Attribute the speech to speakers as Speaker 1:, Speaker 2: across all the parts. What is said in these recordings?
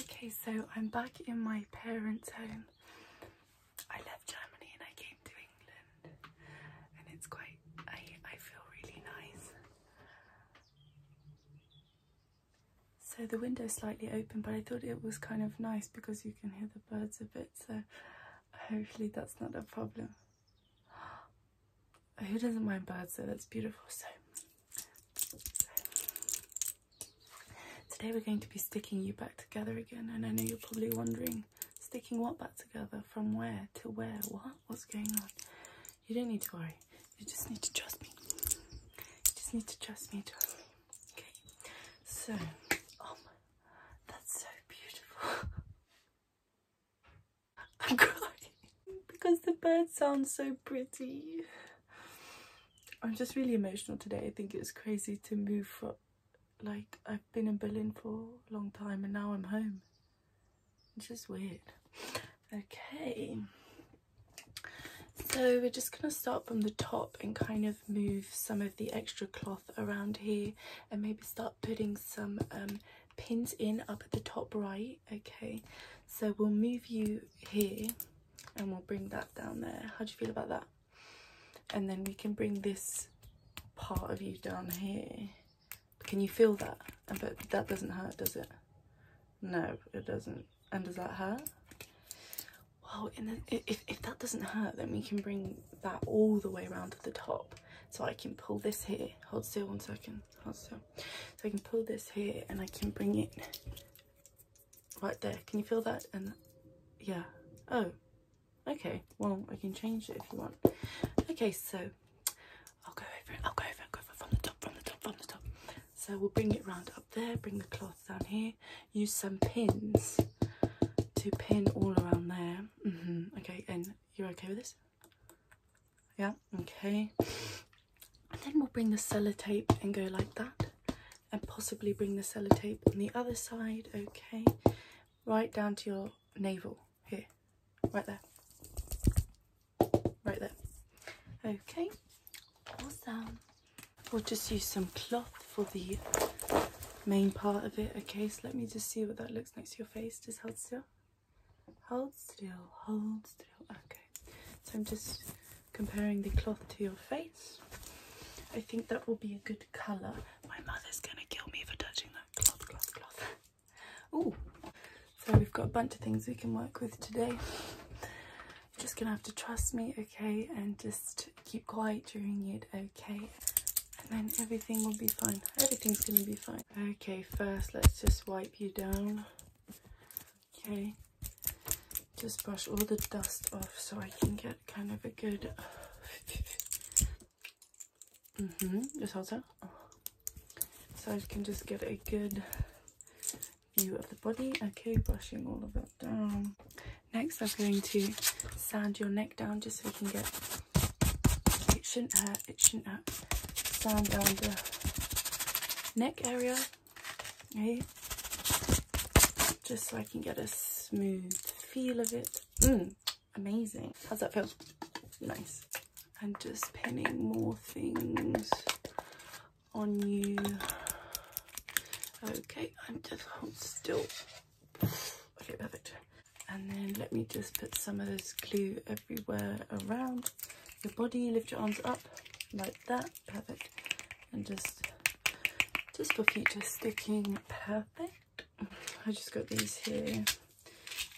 Speaker 1: Okay, so I'm back in my parents' home. I left Germany and I came to England, and it's quite. I feel really nice. So the window's slightly open, but I thought it was kind of nice because you can hear the birds a bit. So hopefully that's not a problem. Who doesn't mind birds? So that's beautiful. So Today we're going to be sticking you back together again and I know you're probably wondering sticking what back together from where to where what what's going on you don't need to worry you just need to trust me you just need to trust me trust okay so oh that's so beautiful I'm because the bird sounds so pretty. I'm just really emotional today. I think it's crazy to move from, like, I've been in Berlin for a long time and now I'm home. It's just weird. Okay. So we're just going to start from the top and kind of move some of the extra cloth around here and maybe start putting some um, pins in up at the top right okay so we'll move you here and we'll bring that down there how do you feel about that and then we can bring this part of you down here can you feel that but that doesn't hurt does it no it doesn't and does that hurt well and if that doesn't hurt then we can bring that all the way around to the top so i can pull this here hold still one second also so I can pull this here and I can bring it right there can you feel that and yeah oh okay well I can change it if you want okay so I'll go over I'll go over it, go over from the top from the top from the top so we'll bring it round up there bring the cloth down here use some pins to pin all around there mm -hmm. okay and you're okay with this yeah okay and then we'll bring the sellotape and go like that and possibly bring the sellotape on the other side okay right down to your navel here right there right there okay awesome we'll just use some cloth for the main part of it okay so let me just see what that looks next to your face Does hold still Hold still, hold still. Okay, so I'm just comparing the cloth to your face. I think that will be a good colour. My mother's gonna kill me for touching that cloth, cloth, cloth. Oh. so we've got a bunch of things we can work with today. Just gonna have to trust me, okay, and just keep quiet during it, okay. And then everything will be fine. Everything's gonna be fine. Okay, first let's just wipe you down. Okay, just brush all the dust off so I can get kind of a good... mm-hmm, just hold that. So I can just get a good view of the body. Okay, brushing all of that down. Next, I'm going to sand your neck down just so we can get... It shouldn't hurt itching up down down the neck area okay eh? just so i can get a smooth feel of it mm, amazing how's that feel nice I'm just pinning more things on you okay i'm just still okay perfect and then let me just put some of this glue everywhere around your body lift your arms up like that perfect and just just for future sticking perfect i just got these here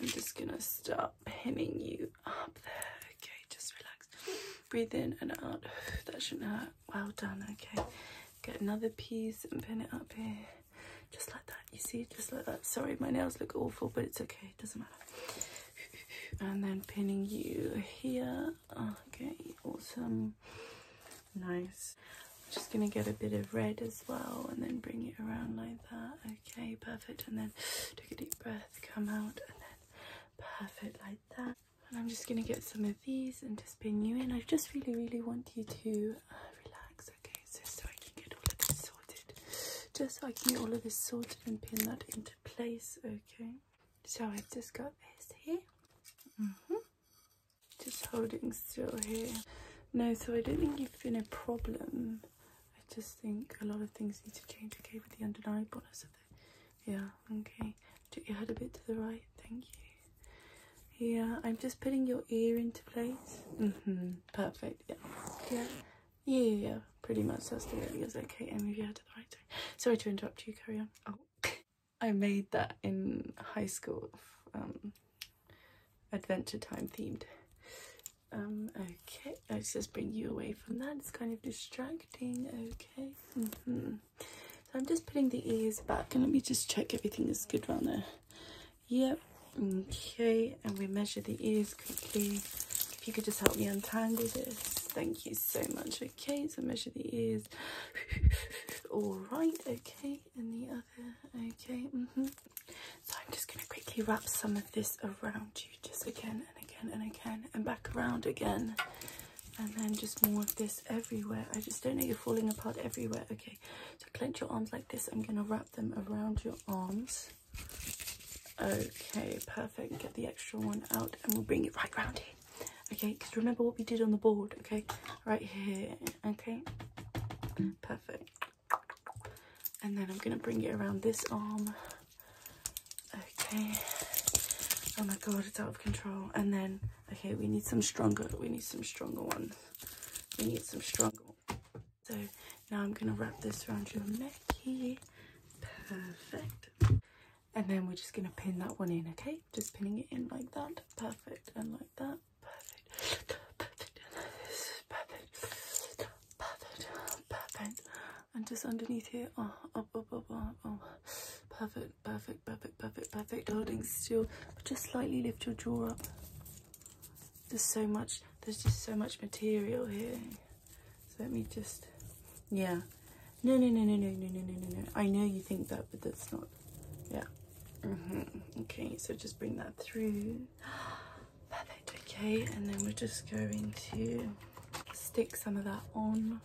Speaker 1: i'm just gonna start pinning you up there okay just relax breathe in and out that shouldn't hurt well done okay get another piece and pin it up here just like that you see just like that sorry my nails look awful but it's okay okay, doesn't matter. And then pinning you here. Okay, awesome. Nice. just gonna get a bit of red as well and then bring it around like that. Okay, perfect. And then take a deep breath, come out, and then perfect like that. And I'm just gonna get some of these and just pin you in. I just really, really want you to uh, relax, okay? Okay, so, I can get all of this sorted. Just so I can get all of this sorted and pin that into place, okay? So i just got this here. -hmm. Just holding still here. No, so I don't think you've been a problem. I just think a lot of things need to change, okay, with the under eye bonus of it. Yeah, okay. Took your head a bit to the right, thank you. Yeah, I'm just putting your ear into place. hmm perfect, yeah. Yeah. Yeah, yeah, Pretty much that's the way it is. Okay, and we've had to the right time. Sorry to interrupt you, carry on. Oh. I made that in high school, um, adventure time themed. Um, okay, let's just bring you away from that. It's kind of distracting, okay. Mm-hmm. So I'm just putting the ears back and let me just check everything is good around there. Yep, okay, and we measure the ears quickly. If you could just help me untangle this, thank you so much. Okay, so measure the ears. All right, okay, and the other, okay, mm -hmm. So I'm just going to quickly wrap some of this around you, just again and again and again, and back around again and then just more of this everywhere i just don't know you're falling apart everywhere okay so clench your arms like this i'm gonna wrap them around your arms. Okay, perfect. Get the extra one out and we'll bring it right round here. Okay, because remember what we did on the board, okay? Right here, okay? Perfect. And then I'm going to bring it around this arm. Okay. Oh my god, it's out of control. And then, okay, we need some stronger. We need some stronger ones. We need some stronger so now I'm gonna wrap this around your neck here. Perfect. And then we're just gonna pin that one in, okay? Just pinning it in like that. Perfect. And like that. Perfect. Perfect. And Perfect. Perfect. Perfect. And just underneath here. Oh, oh, oh, oh. Perfect. Perfect. Perfect. Perfect. Perfect. Holding still. Just slightly lift your jaw up. There's so much, there's just so much material here. So let me just, yeah. No, no, no, no, no, no, no, no, no, I know you think that, but that's not, yeah. Mm -hmm. Okay, so just bring that through. Perfect, okay. And then we're just going to stick some of that on.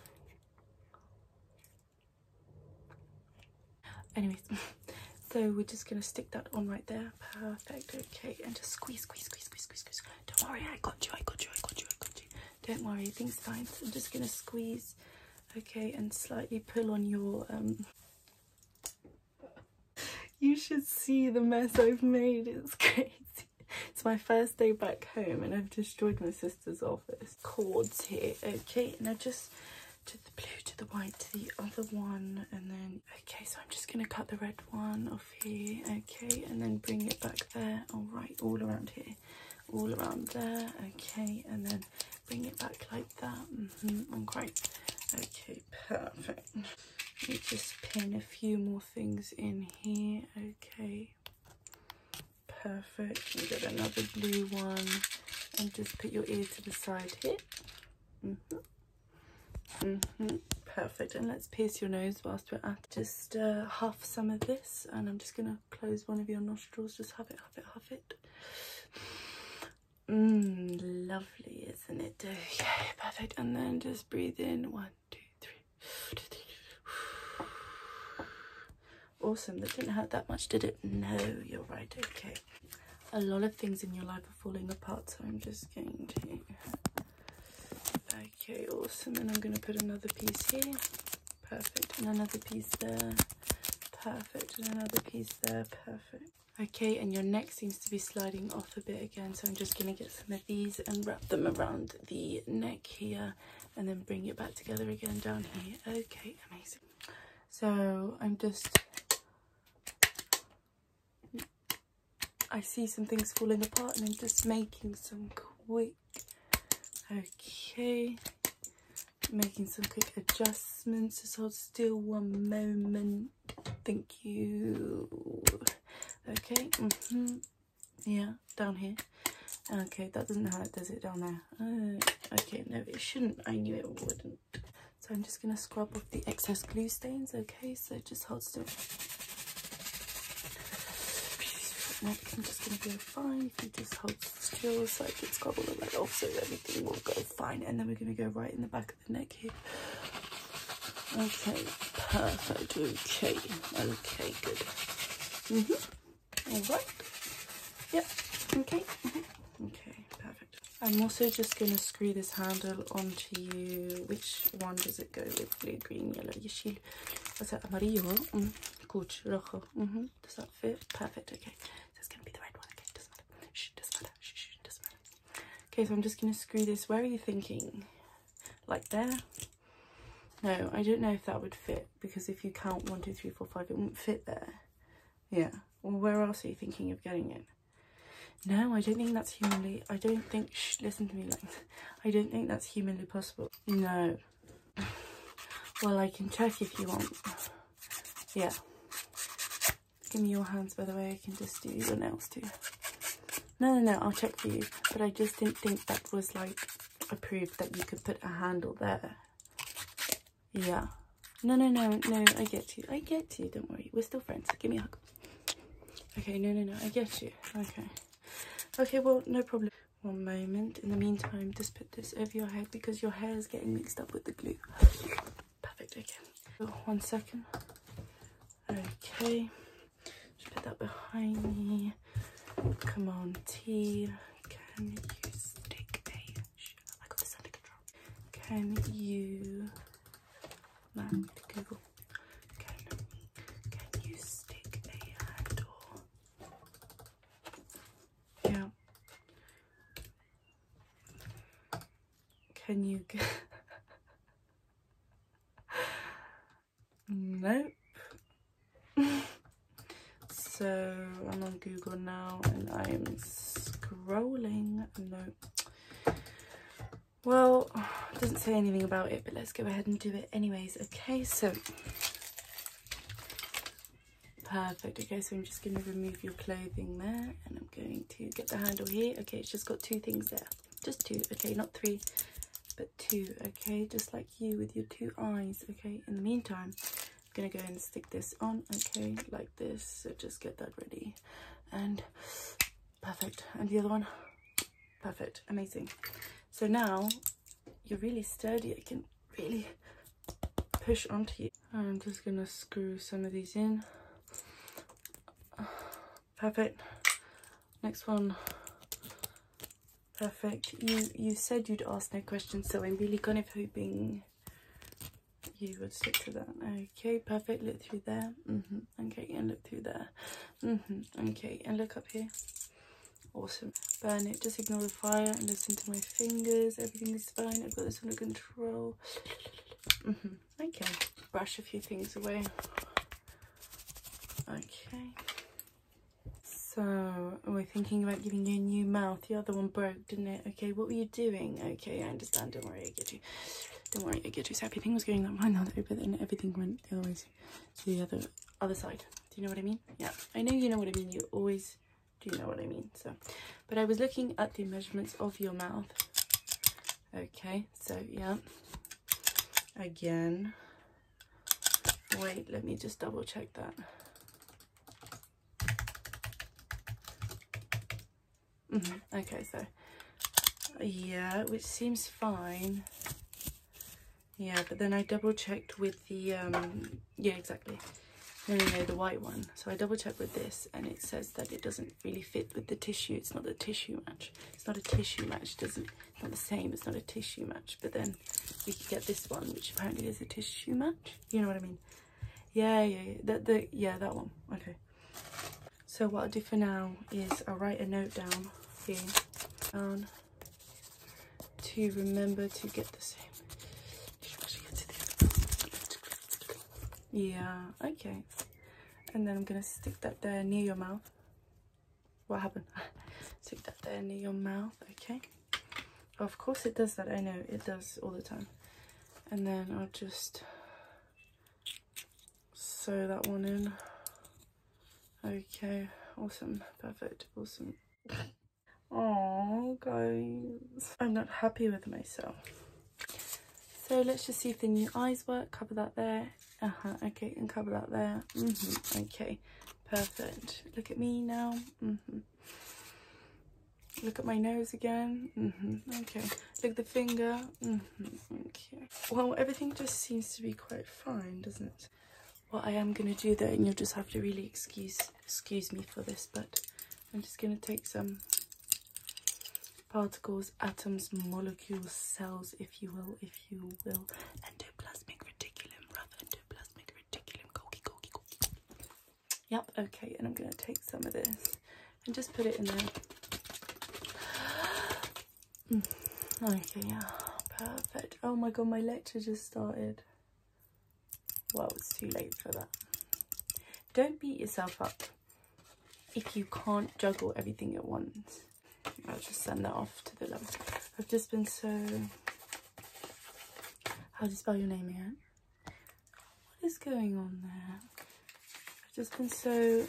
Speaker 1: Anyways, so we're just gonna stick that on right there. Perfect, okay, and just squeeze, squeeze, squeeze, squeeze, squeeze, squeeze. Don't worry, I got you, I got you, I got you, I got you. Don't worry, things fine. So I'm just gonna squeeze, okay, and slightly pull on your um, you should see the mess I've made, it's crazy. It's my first day back home and I've destroyed my sister's office. Cords here, okay, and I just to the blue, to the white, to the other one, and then, okay, so I'm just going to cut the red one off here, okay, and then bring it back there, all right, all around here, all around there, okay, and then bring it back like that, mm -hmm, great, okay, perfect. Let me just pin a few more things in here, okay, perfect, we got another blue one, and just put your ear to the side here -hmm. -hmm. Perfect. And let's pierce your nose whilst we're at it. Just uh, half some of this. And I'm just going to close one of your nostrils. Just have it, have it, have it. Mmm, lovely, isn't it? Okay, perfect. And then just breathe in. One, two, three. Two, three. Awesome. That didn't hurt that much, did it? No, you're right. Okay a lot of things in your life are falling apart so i'm just going to okay awesome and i'm going to put another piece here perfect and another piece there perfect and another piece there perfect okay and your neck seems to be sliding off a bit again so i'm just going to get some of these and wrap them around the neck here and then bring it back together again down here okay amazing so i'm just I see some things falling apart and I'm just making some quick, okay, making some quick adjustments. Just hold still one moment. Thank you. Okay, mm-hmm. yeah, down here. Okay, that doesn't hurt, does it, down there? Uh, okay, no, it shouldn't. I knew it wouldn't. So I'm just going to scrub off the excess glue stains, okay? So just hold still. I'm just going to go fine you just hold still so I can scrub all of that off so everything will go fine. And then we're going to go right in the back of the neck here. Okay, perfect. Okay, okay, good. Mm -hmm. All right. Yep, okay. Mm-hmm. Okay, perfect. I'm also just going to screw this handle onto you. Which one does it go with? Blue, green, yellow, yeshil. What's that? Amarillo. Mm. Rojo. -hmm. Does that fit? Perfect. Okay. So going to be the red one. Okay. Doesn't matter. Shh. Doesn't matter. Shh. doesn't matter. Okay. So I'm just going to screw this. Where are you thinking? Like there? No. I don't know if that would fit because if you count one, two, three, four, five, it will not fit there. Yeah. where else are you thinking of getting it? No, I don't think that's humanly... I don't think... listen to me. Like, I don't think that's humanly possible. No. Well, I can check if you want. Yeah. Give me your hands, by the way. I can just do your nails too. No, no, no. I'll check for you. But I just didn't think that was, like, approved that you could put a handle there. Yeah. No, no, no, no, I get you. I get you. Don't worry. We're still friends. Give me a hug. Okay, no, no, no. I get you. Okay. Okay, well, no problem. One moment. In the meantime, just put this over your head because your hair is getting mixed up with the glue. Perfect. Okay. Oh, one second. Okay. Just put that behind me. Come on, T. Can you stick a can you land Google? Can you stick a handle? Yeah. Can you Nope. So I'm on Google now and I'm scrolling. No. Well, doesn't say anything about it, but let's go ahead and do it anyways. Okay, so perfect. Okay, so I'm just going to remove your clothing there and I'm going to get the handle here. Okay, it's just got two things there. Just two. Okay, not three, but two. Okay, just like you with your two eyes. Okay, in the meantime, gonna go and stick this on, okay, like this. So just get that ready. And perfect. And the other one, perfect, amazing. So now you're really sturdy. I can really push onto you. I'm just gonna screw some of these in. Perfect. Next one. Perfect. You you said you'd ask no questions, so I'm really kind of hoping you would stick to that. Okay, perfect. Look through there. -hmm. Okay, and look through there. -hmm. Okay, and look up here. Awesome. Burn it. Just ignore the fire and listen to my fingers. Everything is fine. I've got this under control. Mm -hmm. Okay. Brush a few things away. Okay. So, oh, we're thinking about giving you a new mouth. The other one broke, didn't it? Okay, what were you doing? Okay, I understand. Don't worry, I get you. Don't worry, I get you. So everything was going that one that way, but then everything went the other way to the other other side. Do you know what I mean? Yeah, I know you know what I mean. You always do know what I mean. So, but I was looking at the measurements of your mouth. Okay, so yeah. Again. Wait, let me just double check that. Mm -hmm. Okay, so yeah, which seems fine. Yeah, but then I double checked with the um, yeah, exactly. No, no, no, the white one. So I double checked with this, and it says that it doesn't really fit with the tissue. It's not a tissue match. It's not a tissue match. doesn't. It's not the same. It's not a tissue match. But then we can get this one, which apparently is a tissue match you know what I mean yeah yeah, that the yeah that one okay so what I'll do for now is I'll write a note down here down to remember to get the same yeah okay and then I'm gonna stick that there near your mouth what happened stick that there near your mouth okay of course it does that, I know, it does all the time. And then I'll just sew that one in. Okay, awesome, perfect, awesome. Oh guys, I'm not happy with myself. So let's just see if the new eyes work, cover that there. Uh-huh, okay, and cover that there. -hmm, okay, perfect. Look at me now. -hmm. Look at my nose again. Mm-hmm. Okay. Look the finger. Mm -hmm. Well, everything just seems to be quite fine, doesn't it? What I am going to do though, and you'll just have to really excuse excuse me for this, but I'm just going to take some particles, atoms, molecules, cells, if you will, if you will, endoplasmic reticulum, rather endoplasmic. do Yep, okay, and I'm gonna take some of this and just put it in there. Mm, okay, yeah, perfect. Oh my god, my lecture just started. Well, it's too late for that. Don't beat yourself up if you can't juggle everything at once. I'll just send that off to the love. I've just been so how do you spell your name, Aunt? What is going on there? I've just been so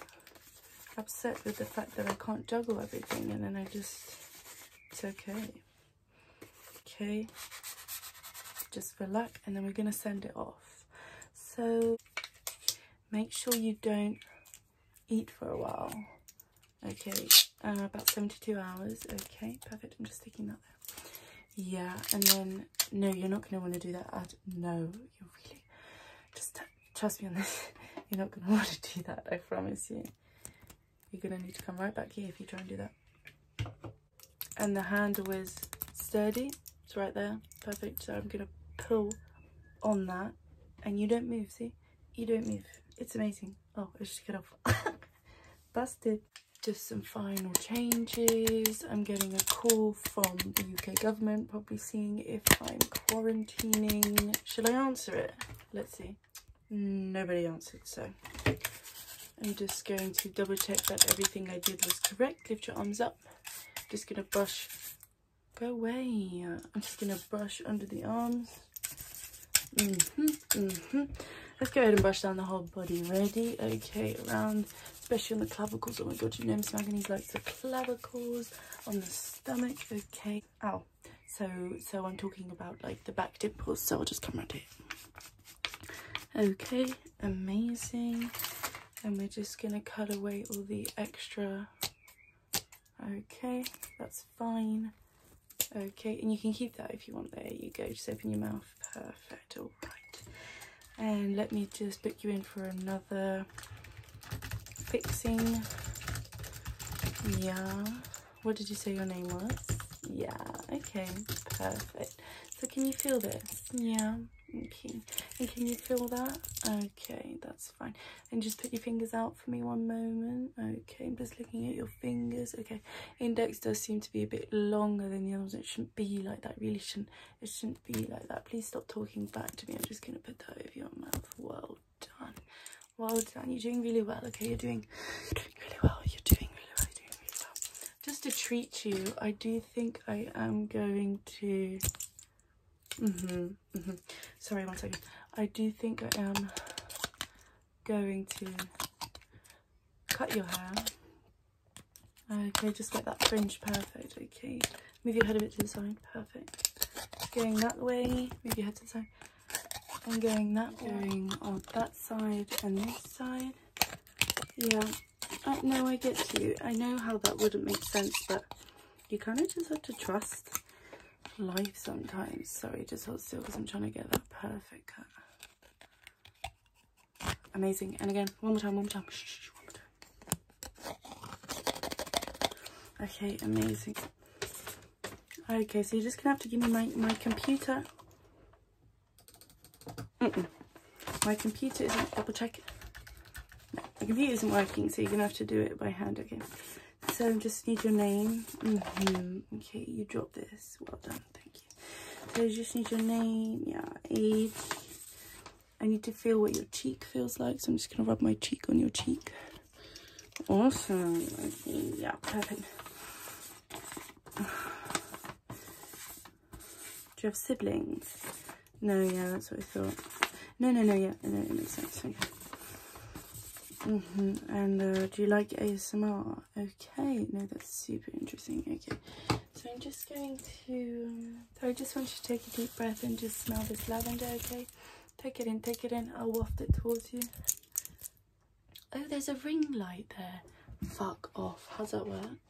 Speaker 1: upset with the fact that I can't juggle everything and then I just, it's okay. Okay, just for luck and then we're gonna send it off. So make sure you don't eat for a while Okay, uh, about 72 hours. Okay, perfect. I'm just sticking that there. Yeah, and then, no, you're not going to want to do that no, you're really, just trust me on this. You're not going to want to do that, I promise you. You're going to need to come right back here if you try and do that. And the handle is sturdy. It's right there. Perfect. So I'm going to pull on that. And you don't move, see? You don't move. It's amazing. Oh, it's just get off. Busted. Just some final changes. I'm getting a call from the UK government, probably seeing if I'm quarantining. Should I answer it? Let's see. Nobody answered, so I'm just going to double check that everything I did was correct. Lift your arms up. Just gonna brush. Go away. I'm just gonna brush under the arms. Mm-hmm, mm-hmm. Let's go ahead and brush down the whole body. Ready? Okay, around, especially on the clavicles. Oh my god, you know Miss Manganese likes the clavicles on the stomach. Okay. Ow. So, so I'm talking about like the back dimples, so I'll just come around here. Okay, amazing. And we're just going to cut away all the extra Okay, that's fine. Okay, and you can keep that if you want. There you go, just open your mouth. Perfect, all right. And let me just put you in for another fixing. Yeah. What did you say your name was? Yeah, okay, perfect. So can you feel this? Yeah, okay. And can you feel that? Okay, that's fine. And just put your fingers out for me one moment. Okay, I'm just looking at your fingers. Okay, index does seem to be a bit longer than the others. It shouldn't be like that, really shouldn't. It shouldn't be like that. Please stop talking back to me. I'm just going to put that over your mouth. Well done. Well done. You're doing really well. Okay, you're doing, really well. You're doing really well. Just to treat you, I do think I am going to... hmm am, mm sorry, one second. I do think I am going to cut your hair. Okay, just get that fringe perfect. Okay, move your head a bit to the side. Perfect. Going that way, move your head to the side. I'm going that going on that side and this side. Yeah, I know I get you. I know how that wouldn't make sense, but you kind of just have to trust life sometimes. Sorry, just hold still because I'm trying to get that perfect cut. Amazing. And again, one more time, one more time. Okay, amazing. Okay, so you're just going to have to give me my, my computer. My computer isn't, double check. My computer isn't working, so you're going to have to do it by hand, okay. So I just need your name. Mm-hmm. Okay, you dropped this. Well done, thank you. So you just need your name, yeah, age. I need to feel what your cheek feels like, so I'm just gonna rub my cheek on your cheek. Awesome. yeah, perfect. Do you have siblings? No, yeah, that's what I thought. No, no, no, yeah, no, it makes Mm -hmm. And uh, do you like ASMR? Okay, no, that's super interesting. Okay, so I'm just going to. so I just want you to take a deep breath and just smell this lavender. Okay, take it in, take it in. I'll waft it towards you. Oh, there's a ring light there. Fuck off. How's that work?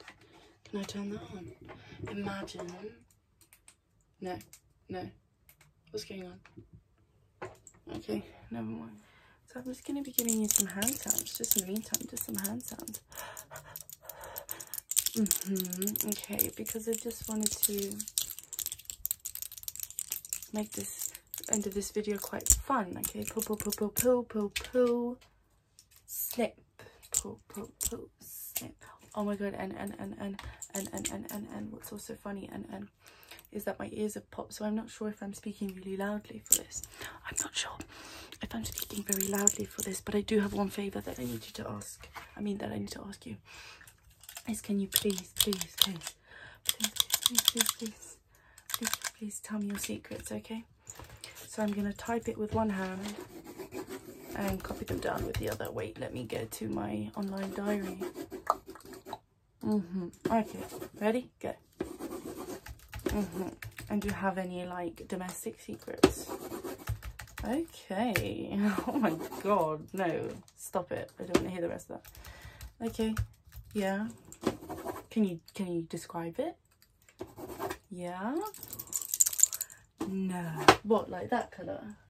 Speaker 1: Can I turn that on? Imagine no, no. What's going on? Okay, never mind. So I'm just going to be giving you some hand sounds, just in the meantime, just some hand sounds. Mm-hmm, okay, because I just wanted to make this end of this video quite fun. Okay, pull, pull, pull, pull, pull, pull, pull, snip, pull, pull, pull, snip. Oh my god, and and and and and and and and and what's also funny and and problem is that my ears have popped so I'm not sure if I'm speaking really loudly for this. I'm not sure if I'm speaking very loudly for this but I do have one favour that I need you to ask. I mean that I need to ask you is can you please, please, please, please, please, please, please, please, please tell me your secrets, okay? So I'm going to type it with one hand and copy them down with the other. Wait, let me go to my online diary. -hmm. Okay, ready? Go. -hmm. And do you have any like domestic secrets? Okay. Oh my god, no. Stop it. I don't want to hear the rest of that. Okay. Yeah. Can you can you describe it? Yeah. No. What, like that colour?